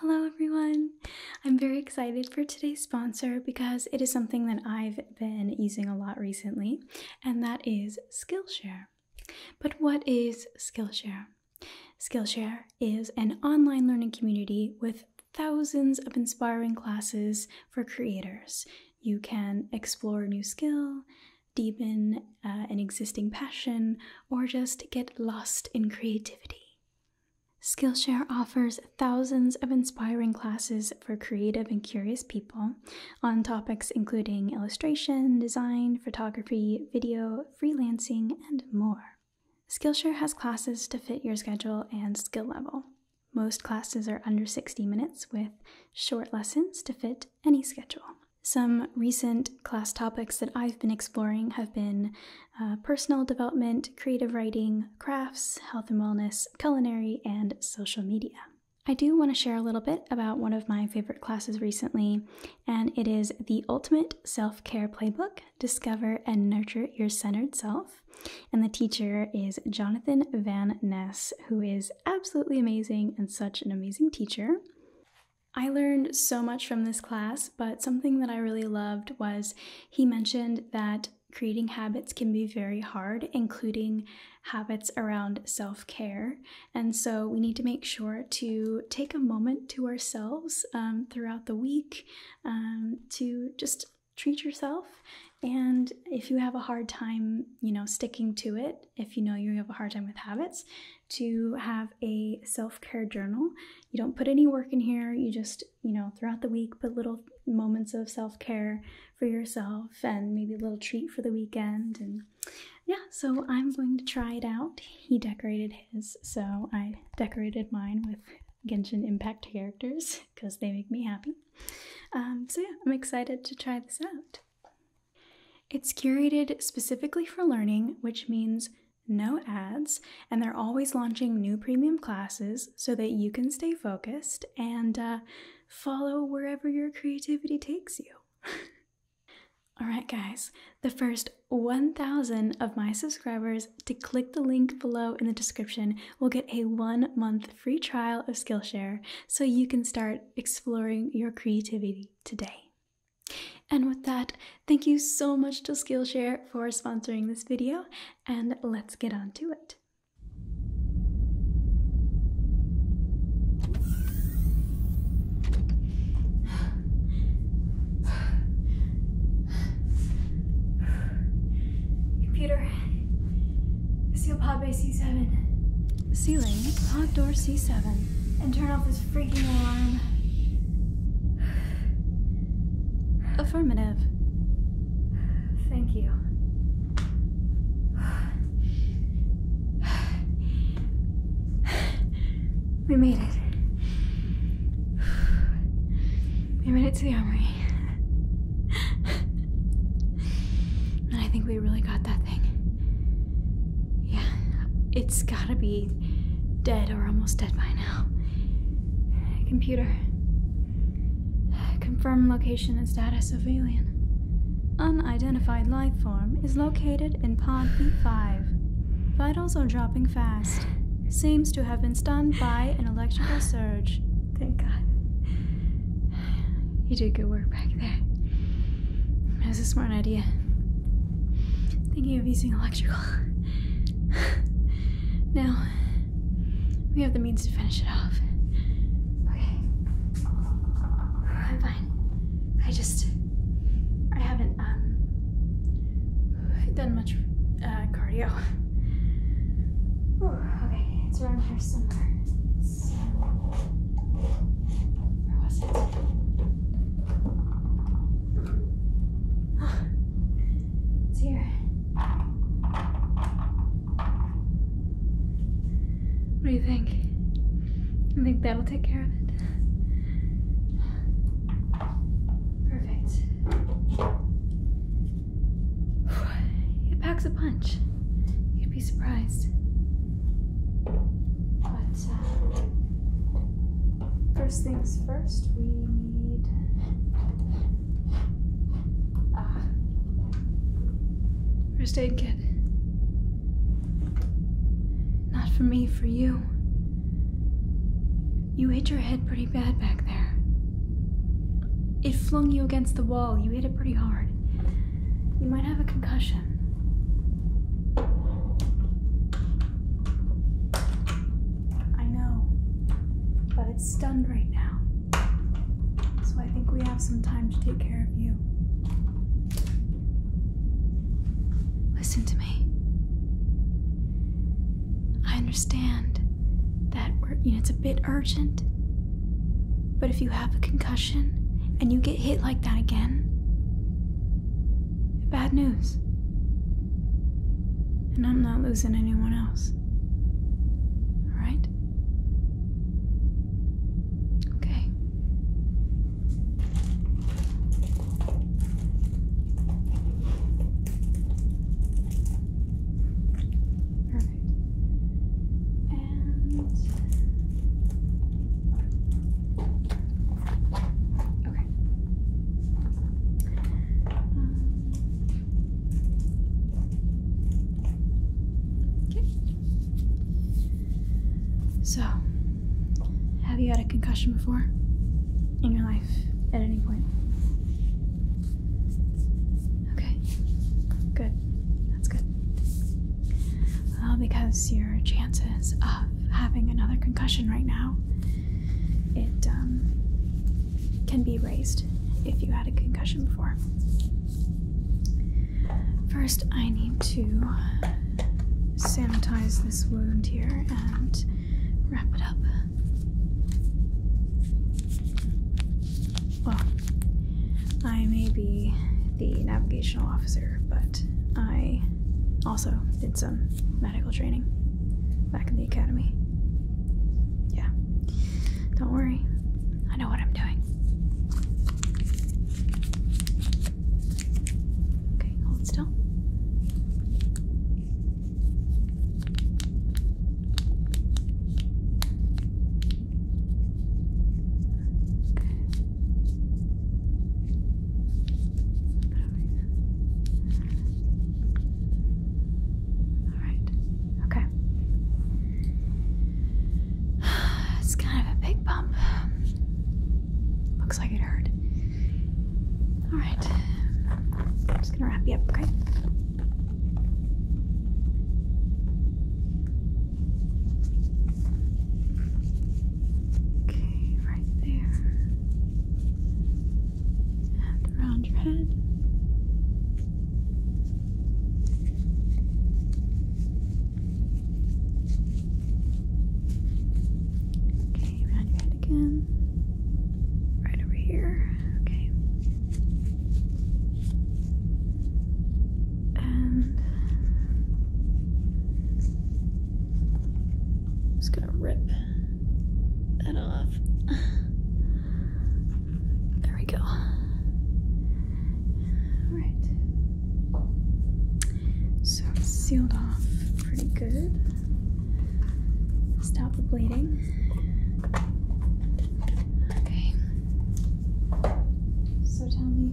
Hello, everyone. I'm very excited for today's sponsor because it is something that I've been using a lot recently, and that is Skillshare. But what is Skillshare? Skillshare is an online learning community with thousands of inspiring classes for creators. You can explore a new skill, deepen uh, an existing passion, or just get lost in creativity. Skillshare offers thousands of inspiring classes for creative and curious people on topics including illustration, design, photography, video, freelancing, and more. Skillshare has classes to fit your schedule and skill level. Most classes are under 60 minutes with short lessons to fit any schedule. Some recent class topics that I've been exploring have been uh, personal development, creative writing, crafts, health and wellness, culinary, and social media. I do want to share a little bit about one of my favorite classes recently, and it is the Ultimate Self Care Playbook Discover and Nurture Your Centered Self. And the teacher is Jonathan Van Ness, who is absolutely amazing and such an amazing teacher. I learned so much from this class, but something that I really loved was he mentioned that creating habits can be very hard, including habits around self care. And so we need to make sure to take a moment to ourselves um, throughout the week um, to just treat yourself. And if you have a hard time, you know, sticking to it, if you know you have a hard time with habits, to have a self-care journal. You don't put any work in here. You just, you know, throughout the week put little moments of self-care for yourself and maybe a little treat for the weekend and yeah, so I'm going to try it out. He decorated his, so I decorated mine with Genshin Impact characters because they make me happy. Um, so yeah, I'm excited to try this out. It's curated specifically for learning, which means no ads, and they're always launching new premium classes so that you can stay focused and uh, follow wherever your creativity takes you. Alright, guys, the first 1,000 of my subscribers to click the link below in the description will get a one month free trial of Skillshare so you can start exploring your creativity today. And with that, thank you so much to Skillshare for sponsoring this video, and let's get on to it. Computer, seal pod bay C7. Ceiling, pod door C7. And turn off is freaking warm. Affirmative. Thank you. We made it. We made it to the armory. And I think we really got that thing. Yeah, it's gotta be Dead or almost dead by now. Computer. Confirm location and status of alien. Unidentified life form is located in pod B5. Vitals are dropping fast. Seems to have been stunned by an electrical surge. Thank God. You did good work back there. That was a smart idea. Thinking of using electrical. now, we have the means to finish it off. Okay. I'm fine. I just. I haven't, um. done much uh, cardio. okay, it's around here somewhere. where was it? Oh, dear. What do you think? I think that'll take care of it. Perfect. It packs a punch. You'd be surprised. But, uh, first things first, we Ah. First aid kit. Not for me, for you. You hit your head pretty bad back there. It flung you against the wall. You hit it pretty hard. You might have a concussion. I know, but it's stunned right now. So I think we have some time to take care of you. Listen to me. I understand that we're, you know, it's a bit urgent, but if you have a concussion and you get hit like that again, bad news. And I'm not losing anyone else. Alright? Okay. Perfect. And Okay. Um, okay. So, have you had a concussion before in your life at any point? Okay. Good. That's good. Well, because your chances of having another concussion right now it um, can be raised if you had a concussion before. First, I need to sanitize this wound here and wrap it up. Well, I may be the navigational officer, but I also did some medical training back in the academy. Yeah. Don't worry. I know what I'm doing. Okay, hold still. Alright, okay. It's kind of a big bump. Looks like it hurt. Alright, I'm just gonna wrap you up, okay? Okay, right there and around your head. Okay, around your head again. Right over here. Okay. And I'm just gonna rip that off. There we go. Alright. So sealed off pretty good. Stop the bleeding. Okay. So tell me,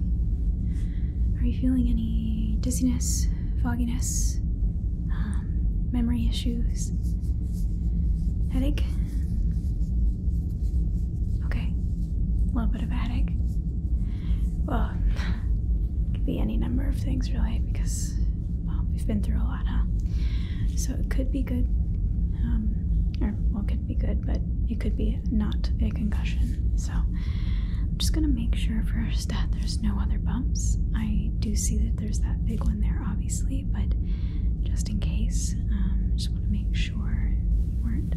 are you feeling any dizziness? fogginess, um, memory issues, headache. Okay, a little bit of headache. Well, it could be any number of things, really, because well, we've been through a lot, huh? So it could be good, um, or well, it could be good, but it could be not a concussion. So I'm just gonna make sure first that there's no other bumps. I do see the there's that big one there, obviously, but just in case, um, just want to make sure you weren't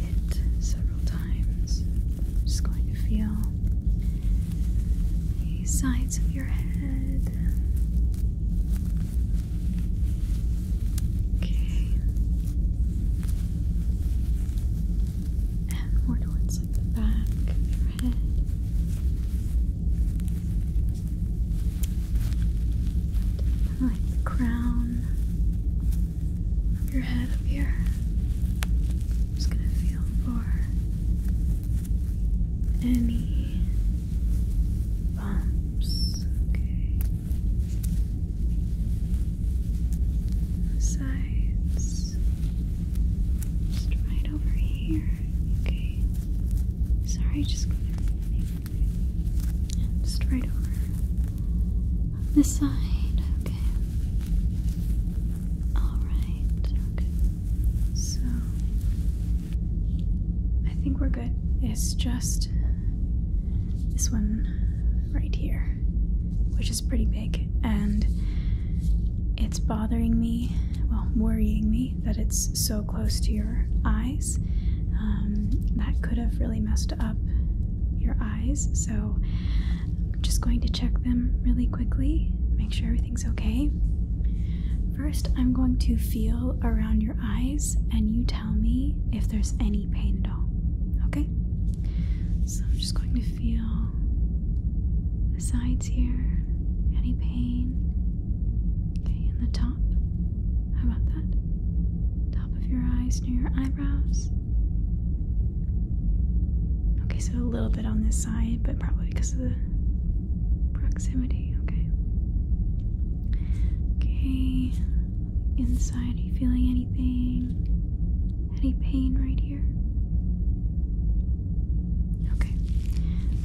hit several times. just going to feel the sides of your head. Okay. And more towards the back forehead. Kind like the crown of your head up here. I'm just gonna feel for any bumps. Okay. sides. Just right over here. Okay. Sorry, just go and just right over this side. Okay. All right. Okay. So I think we're good. It's just this one right here, which is pretty big and it's bothering me, well, worrying me that it's so close to your eyes. Um, that could have really messed up your eyes, so I'm just going to check them really quickly, make sure everything's okay. First, I'm going to feel around your eyes and you tell me if there's any pain at all. Okay? So I'm just going to feel the sides here, any pain. Okay, in the top. How about that? Top of your eyes near your eyebrows. Okay, so a little bit on this side, but probably because of the proximity. Okay. Okay. Inside, are you feeling anything? Any pain right here? Okay.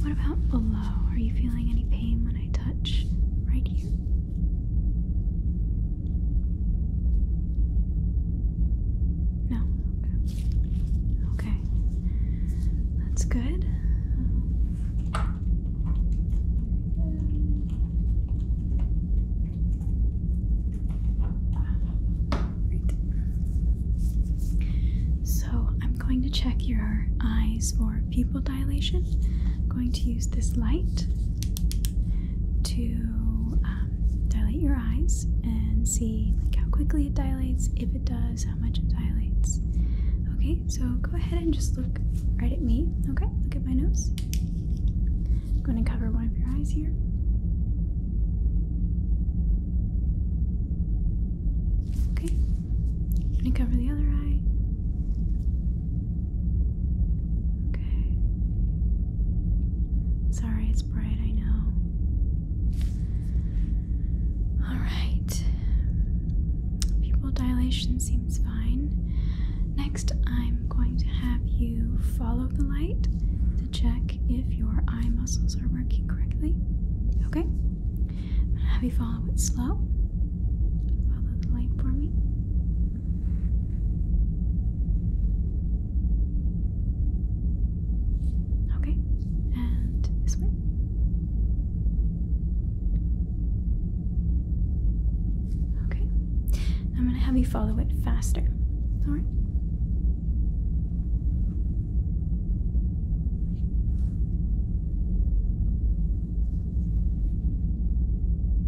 What about below? Are you feeling any pain when I touch right here? No? Okay. Okay. That's good. So I'm going to check your eyes for pupil dilation. I'm going to use this light to um, dilate your eyes and see like how quickly it dilates, if it does, how much it dilates. Okay, so go ahead and just look right at me. Okay, look at my nose. I'm going to cover one of your eyes here. Okay. Let me cover the other eye. Okay. Sorry, it's bright, I know. Alright. Pupil dilation seems fine. Next, I'm going to have you follow the light check if your eye muscles are working correctly. Okay? I'm gonna have you follow it slow. Follow the light for me. Okay, and this way. Okay, I'm going to have you follow it faster. Alright?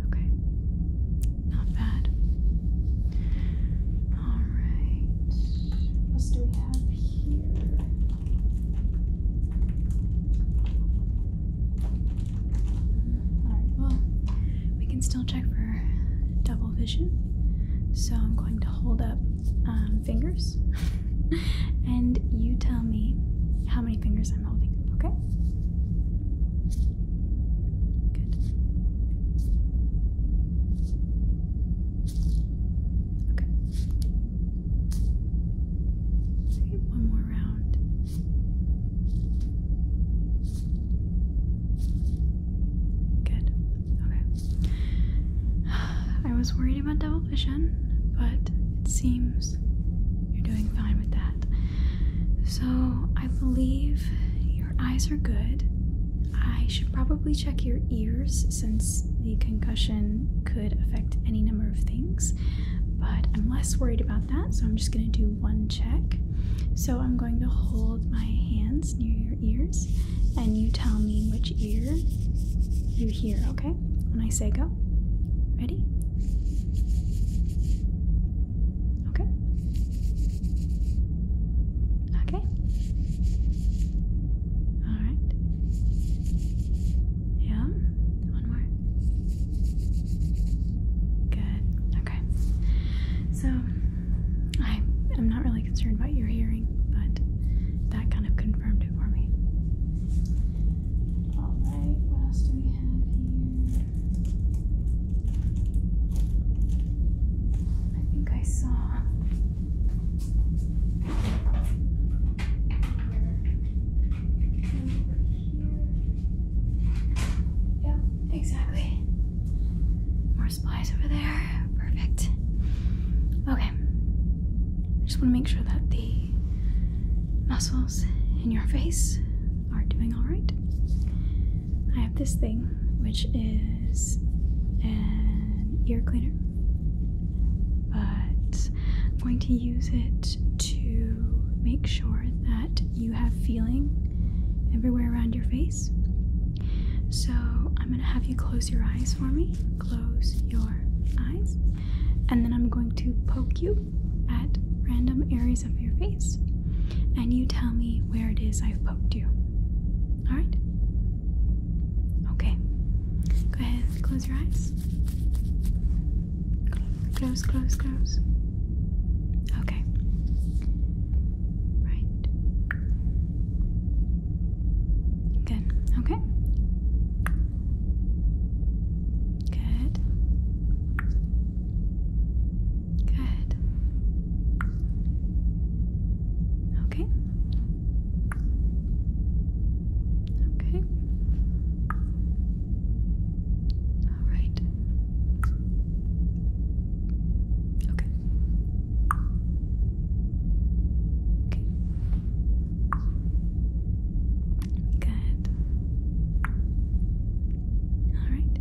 Okay. Not bad. All right. What else do we have here? All right. Well, we can still check for double vision. So I'm going to hold up um, fingers and you tell me how many fingers I'm holding, okay? Good. Okay, one more round. Good. Okay. I was worried about double vision, but it seems you're doing fine with that. So I believe your eyes are good. I should probably check your ears since the concussion could affect any number of things, but I'm less worried about that, so I'm just going to do one check. So I'm going to hold my hands near your ears, and you tell me which which ear you hear, okay? When I say go. Ready? Okay. Okay. All right. Yeah. One more. Good. Okay. So I am not really concerned about your hearing, but that kind of confirmed it for me. I think I saw. Yep, exactly supplies over there. Perfect. Okay. I just want to make sure that the muscles in your face are doing all right. I have this thing, which is an ear cleaner, but I'm going to use it to make sure that you have feeling everywhere around your face. So I'm going to have you close your eyes for me. Close your eyes. And then I'm going to poke you at random areas of your face. And you tell me where it is I've poked you. Alright? Okay. Go ahead, close your eyes. Close, close, close. Okay. Right. Good. Okay. Good. Good. Okay. Okay. All right. Okay. Okay. Good. All right.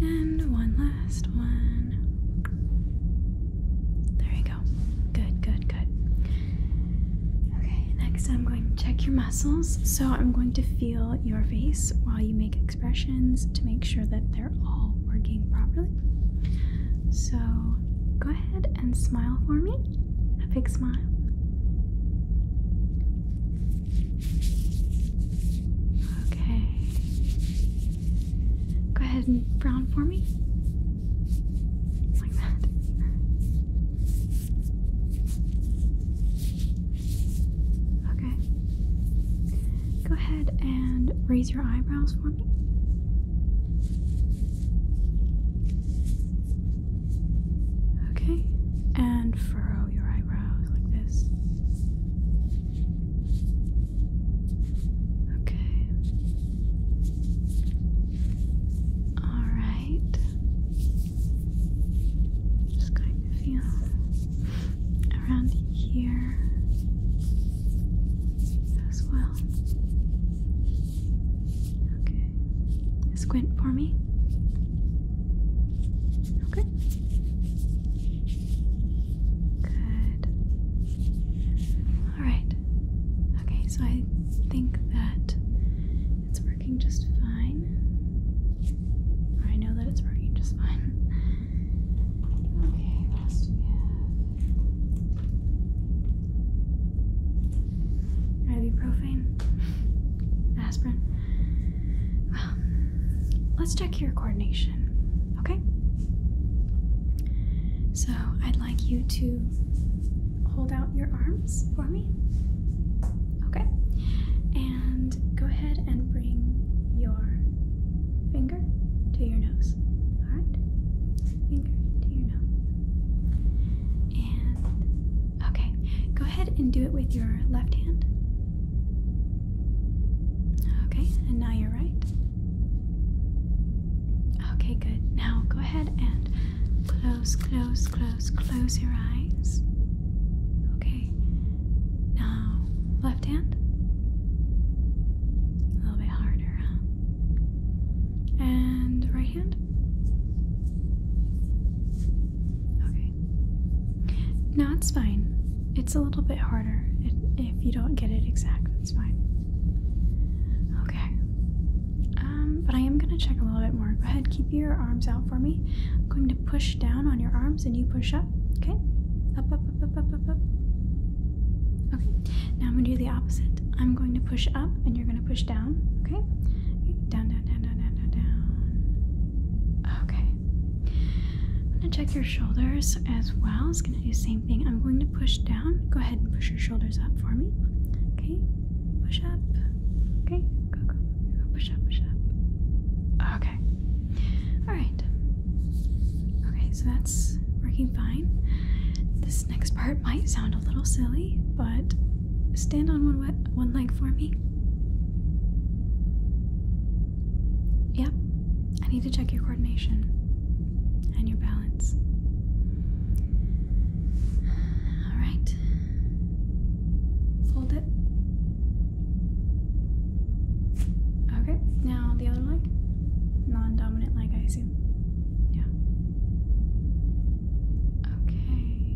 And one last one. There you go. Good, good, good. Okay, next I'm going to check your muscles. So I'm going to feel your face while you make expressions to make sure that they're all working properly. So go ahead and smile for me. A big smile. Okay. Go ahead and frown for me. Like that. Okay. Go ahead and raise your eyebrows for me. Okay, and furrow your eyebrows like this. Okay. All right. Just going to feel around here as well. Okay. Squint for me. Okay. Good. Alright. Okay, so I think that it's working just fine. I know that it's working just fine. Okay, what else do we have? Ibuprofen? Aspirin? Well, let's check your coordination, okay? So I'd like you to hold out your arms for me. Okay. And go ahead and bring your fingers finger to your nose. Alright? Finger to your nose. And okay, go ahead and do it with your left hand. Okay, and now you're right. Okay, good. Now go ahead and close, close, close, close your eyes. Okay, now left hand. A little bit harder, and right hand. Okay. No, it's fine. It's a little bit harder. if you don't get it exact, it's fine. Okay. Um, but I am going to check a little bit more. Go ahead, keep your arms out for me. I'm going to push down on your arms and you push up. Okay? Up, up, up, up, up, up, up. Okay, now I'm gonna do the opposite. I'm going to push up and you're gonna push down, okay? Down, down, down, down, down, down, Okay. I'm gonna check your shoulders as well. It's gonna do the same thing. I'm going to push down. Go ahead and push your shoulders up for me. Okay, push up. Okay, go, go, go, push up, push up. Okay. Alright. Okay, so that's working fine. The this next part might sound a little silly, but stand on one, wet, one leg for me. Yep, I need to check your coordination and your balance. Alright, fold it. Okay, now the other leg. Non dominant leg, I soon. Yeah. Okay.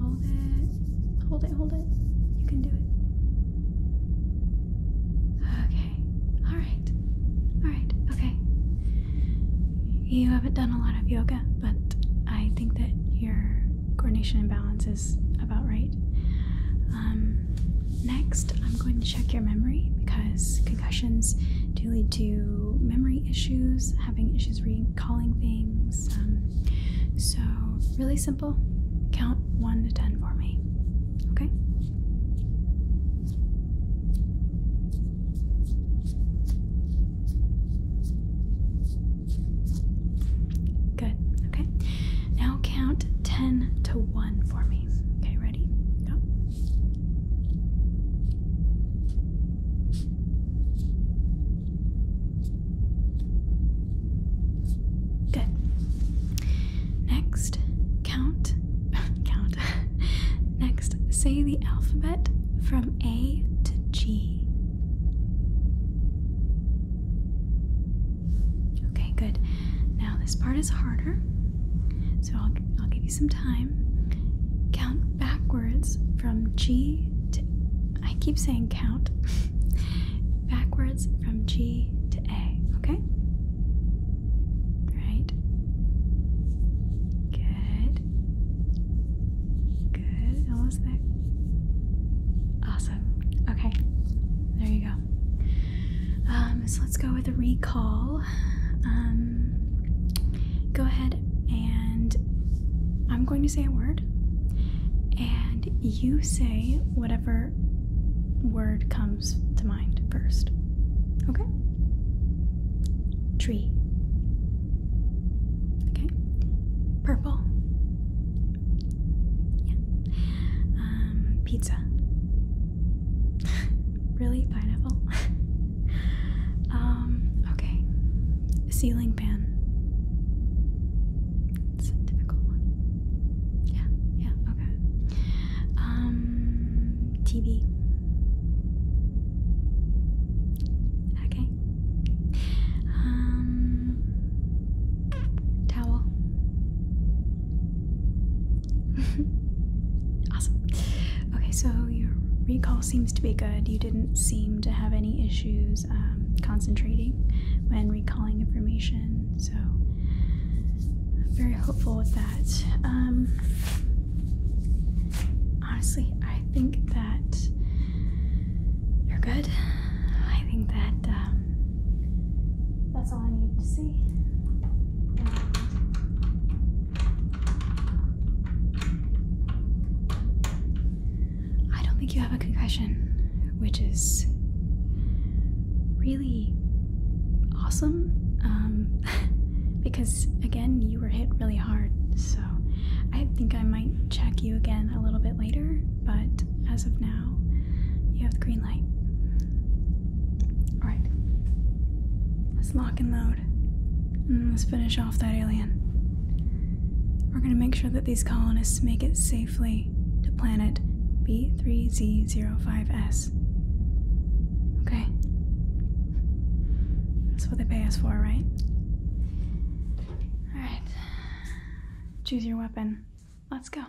Hold it. Hold it, hold it. You can do it. Okay. Alright. Alright. Okay. You haven't done a lot of yoga, but I think that your coordination and balance is about right. Um, next, I'm going to check your memory because concussions do lead to memory issues, having issues recalling things. Um, so, really simple. Count 1 to 10 for me. Okay? Good. Okay. Now count 10 to 1 for me. Okay, ready? Go. Good. Next, count. count. Next, say the alphabet from A to G. Okay, good. Now this part is harder, so I'll, I'll give some time. Count backwards from G to I keep saying count. backwards from G to A, okay? Right. Good. Good. Almost there. Awesome. Okay. There you go. Um, so let's go with a recall. Um, go ahead and I'm going to say a word, and you say whatever word comes to mind first. Okay? Tree. Okay? Purple. Yeah. Um, pizza. really? Pineapple? um, okay. Ceiling fan. It's a typical one. Yeah, yeah, okay. Um, TV. Okay. Um, towel. awesome. Okay, so your recall seems to be good. You didn't seem to have any issues um, concentrating when recalling information, so I'm very hopeful with that. Um, honestly, I think that you're good. I think that um, that's all I need to see. I don't think you have a concussion, which is really awesome. Um, because again, you were hit really hard, so I think I might check you again a little bit later, but as of now, you have the green light. Alright lock and load. And mm, let's finish off that alien. We're gonna make sure that these colonists make it safely to planet B3Z05S. Okay? That's what they pay us for, right? Alright. Choose your weapon. Let's go.